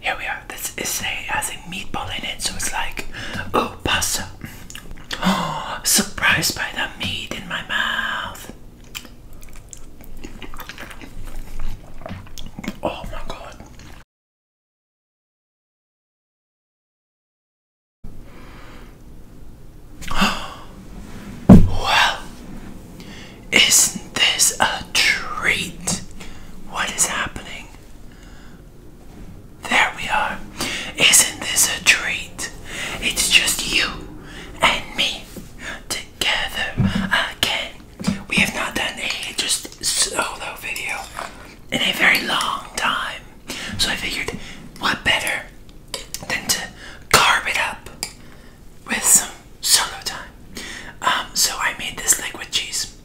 Here we are. This is a has a meatball in it, so it's like oh pasta. Oh, surprised by the meat in my mouth. Oh my god. well, isn't this a treat? What is happening? There we are. Isn't this a treat? It's just you and me together again. We have not done a just solo video in a very long time. So I figured what better than to carve it up with some solo time. Um, so I made this liquid cheese.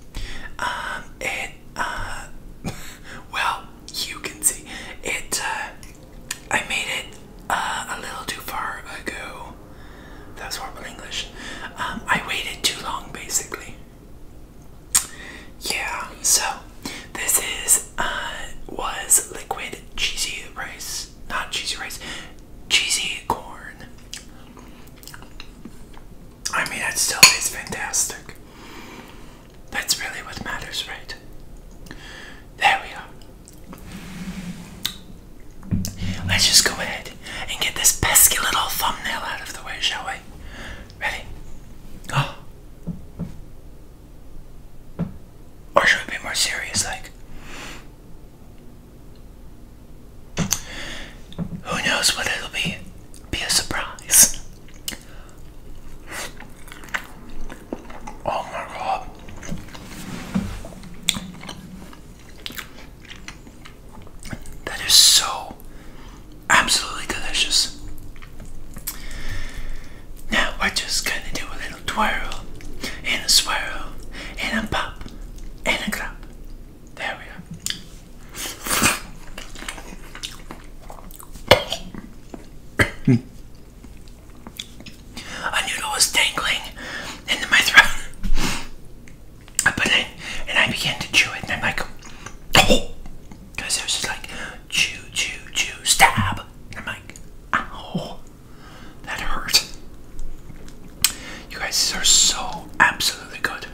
Um, it, uh, well, you can see it. Uh, I made it uh, a little too far ago. That was horrible English. Um, I waited too long, basically. Yeah. So this is was liquid cheesy rice, not cheesy rice, cheesy corn. I mean, it still tastes fantastic. That's really what matters, right? There we are. Let's just go ahead and get this pesky little thumbnail out of the way, shall we? Ready? Oh. Or should it be more serious, like? Who knows what it'll be? Be a surprise. Oh my god. That is so absolutely delicious. Now we're just gonna do a little twirl and a swirl and a pop in a cup. There we are. a noodle was dangling into my throat. I put it and I began to chew it and I'm like, oh! Because it was just like, chew, chew, chew, stab. I'm like, ow. That hurt. You guys are so absolutely good.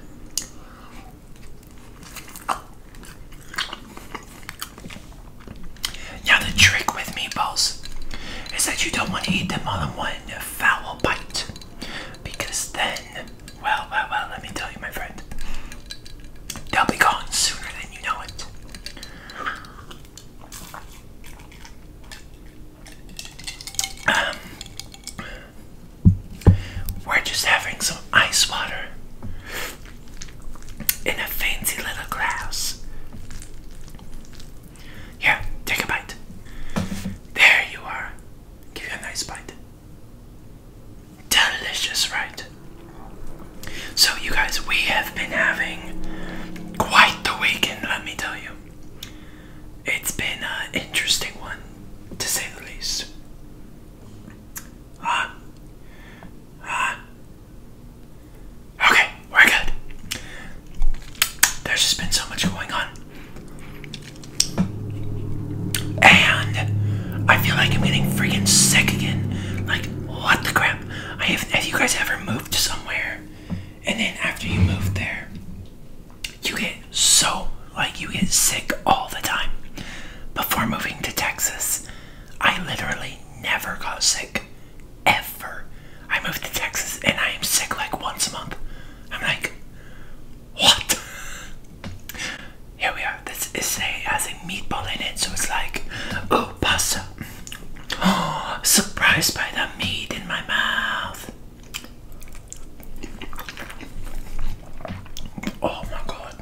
Now the trick with meatballs is that you don't want to eat them all in one foul bite. Because then, well, well, well, let me tell you, my friend, they'll be gone sooner than you know it. Um, we're just having some ice water in a fancy little glass. Here, take a bite. There you are. Give you a nice bite. Delicious, right? So, you guys, we have been having quite the weekend, let me tell you. It's been an interesting one, to say the least. Ah. Ah. Okay, we're good. There's just been so much going on. And I feel like I'm getting freaking sick again. Like, what the crap? I have, have you guys ever moved somewhere and then after you move there, you get so like you get sick all the time. Before moving to Texas, I literally never got sick ever. I moved to Texas and I am sick like once a month. I'm like, what? Here we are. This is a has a meatball in it, so it's like, oh pasta, Surprised by the meat in my mouth. Oh my god.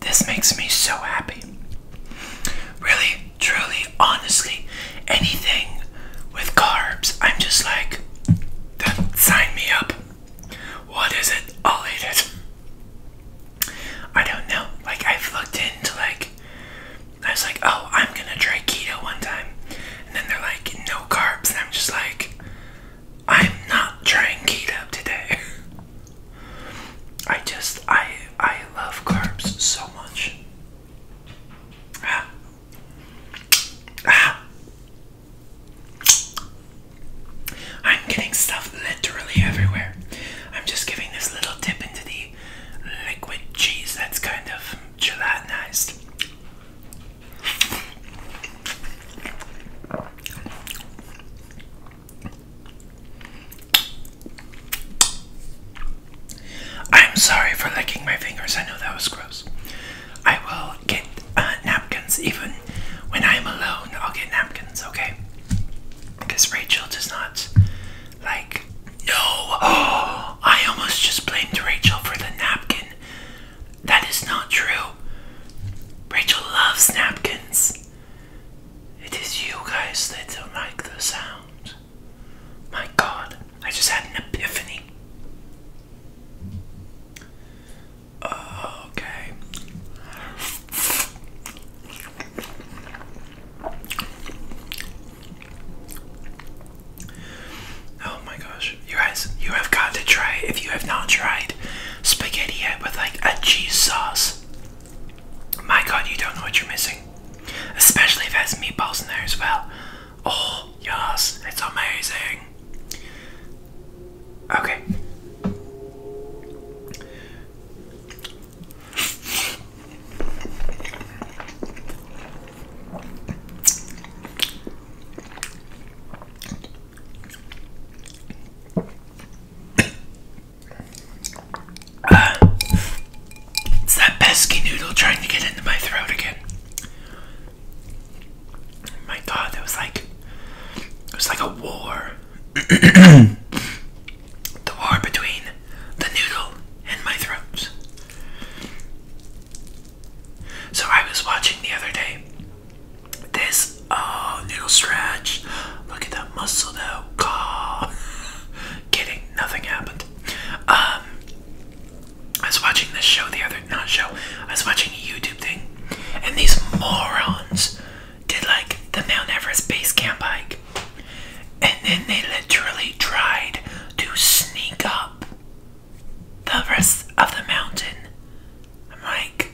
This makes me so happy. Really, truly, honestly, anything with carbs, I'm just like, sign me up. What is it? I'll eat it. I don't know. Like I've looked into like I was like, oh, I'm gonna try keto one time. And then they're like, no carbs, and I'm just like, I'm not trying keto today. I just I I love carbs so much. Ah. Ah. I'm getting stuff literally everywhere. I'm just giving this little dip into the liquid cheese that's kind of gelatinized. I'm sorry for licking my fingers. I know that was gross. I will get uh, napkins even when I'm alone. I'll get napkins, okay? Because Rachel does not like. No! Oh, I almost just blamed Rachel for the napkin. That is not true. Rachel loves napkins. It is you guys that don't like the sound. My god, I just had an epiphany. Okay. Oh my gosh. You guys, you have got to try if you have not tried spaghetti with like a cheese sauce. My god, you don't know what you're missing. Especially if there's meatballs in there as well. Oh, yes, it's amazing. Okay. Uh, it's that pesky noodle trying to get into my throat again. My God, it was like it was like a war. the war between the noodle and my throat. So I was watching the other day this oh noodle stretch. Look at that muscle though. God. Kidding, nothing happened. Um I was watching this show the other not show. I was watching a YouTube thing, and these morons did like the Mount Everest base camp hike, and then they literally tried to sneak up the rest of the mountain. I'm like,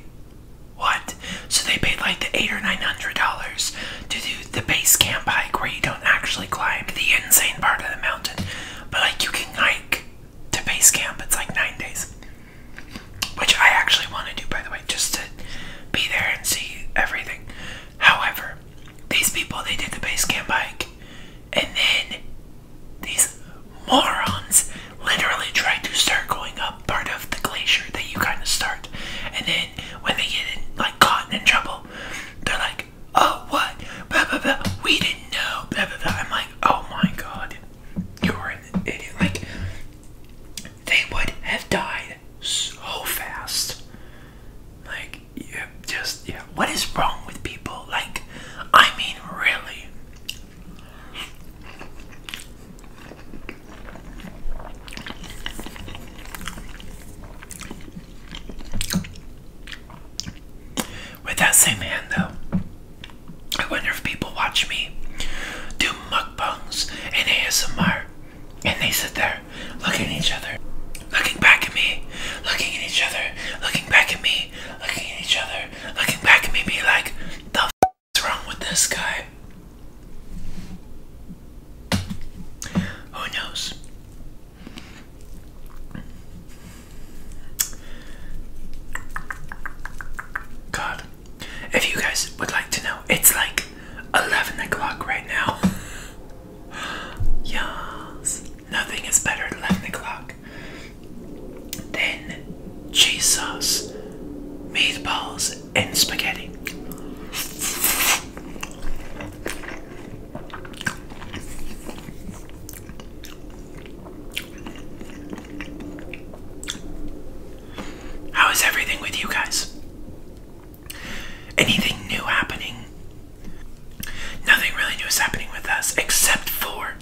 what? So they paid like the eight or nine hundred dollars to do the base camp hike where you don't actually climb the insane part of the mountain, but like you can hike to base camp. It's like nine days, which I actually want to do, by the way, just to be there and see everything. However, these people they did the base camp hike, and then these morons literally tried to start going up part of the glacier that you kind of start, and then when they get in, like caught in trouble, they're like, "Oh, what? Blah blah blah. We didn't know." Blah blah I'm like, oh my god, you're an idiot. Like, they would have died so fast. Like, yeah, just, yeah. What is wrong with people? Like, I mean, really. With that same hand, though, I wonder if people watch me do mukbangs in ASMR and they sit there looking at each other, looking back at me, looking at each other, looking back at me, looking at each other, looking back at me, be like, the f wrong with this guy? Who knows? God, if you guys would like to know, it's like 11 o'clock right now. yes, nothing is better at 11 o'clock than cheese sauce, meatballs, and spaghetti. How is everything with you guys? Anything new happening? Nothing really new is happening with us except for.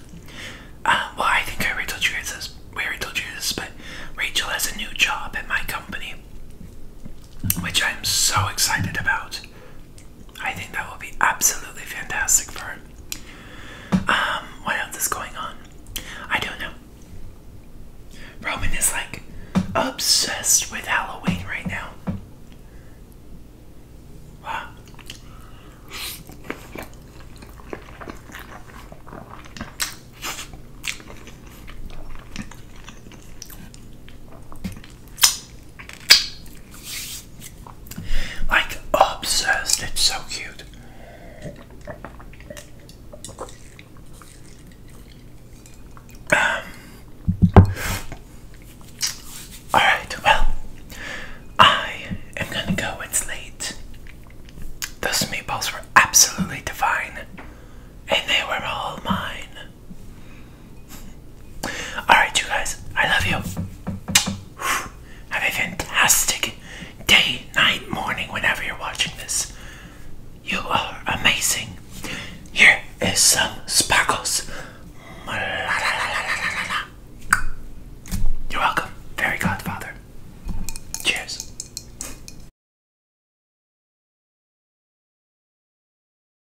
Uh, well, I think I already told you guys this. We already told you this, but Rachel has a new job at my company, which I'm so excited about. I think that will be absolutely fantastic for him. Um, what else is going on? I don't know. Roman is like obsessed with Halloween right now. Like obsessed, it's so cute. Um, Alright, well, I am gonna go. It's late. Those meatballs were absolutely divine, and they were all mine. Alright, you guys, I love you. Have a fantastic day, night, morning, whenever you're watching this. You are amazing. Here is some sparkles. You're welcome, Fairy Godfather. Cheers.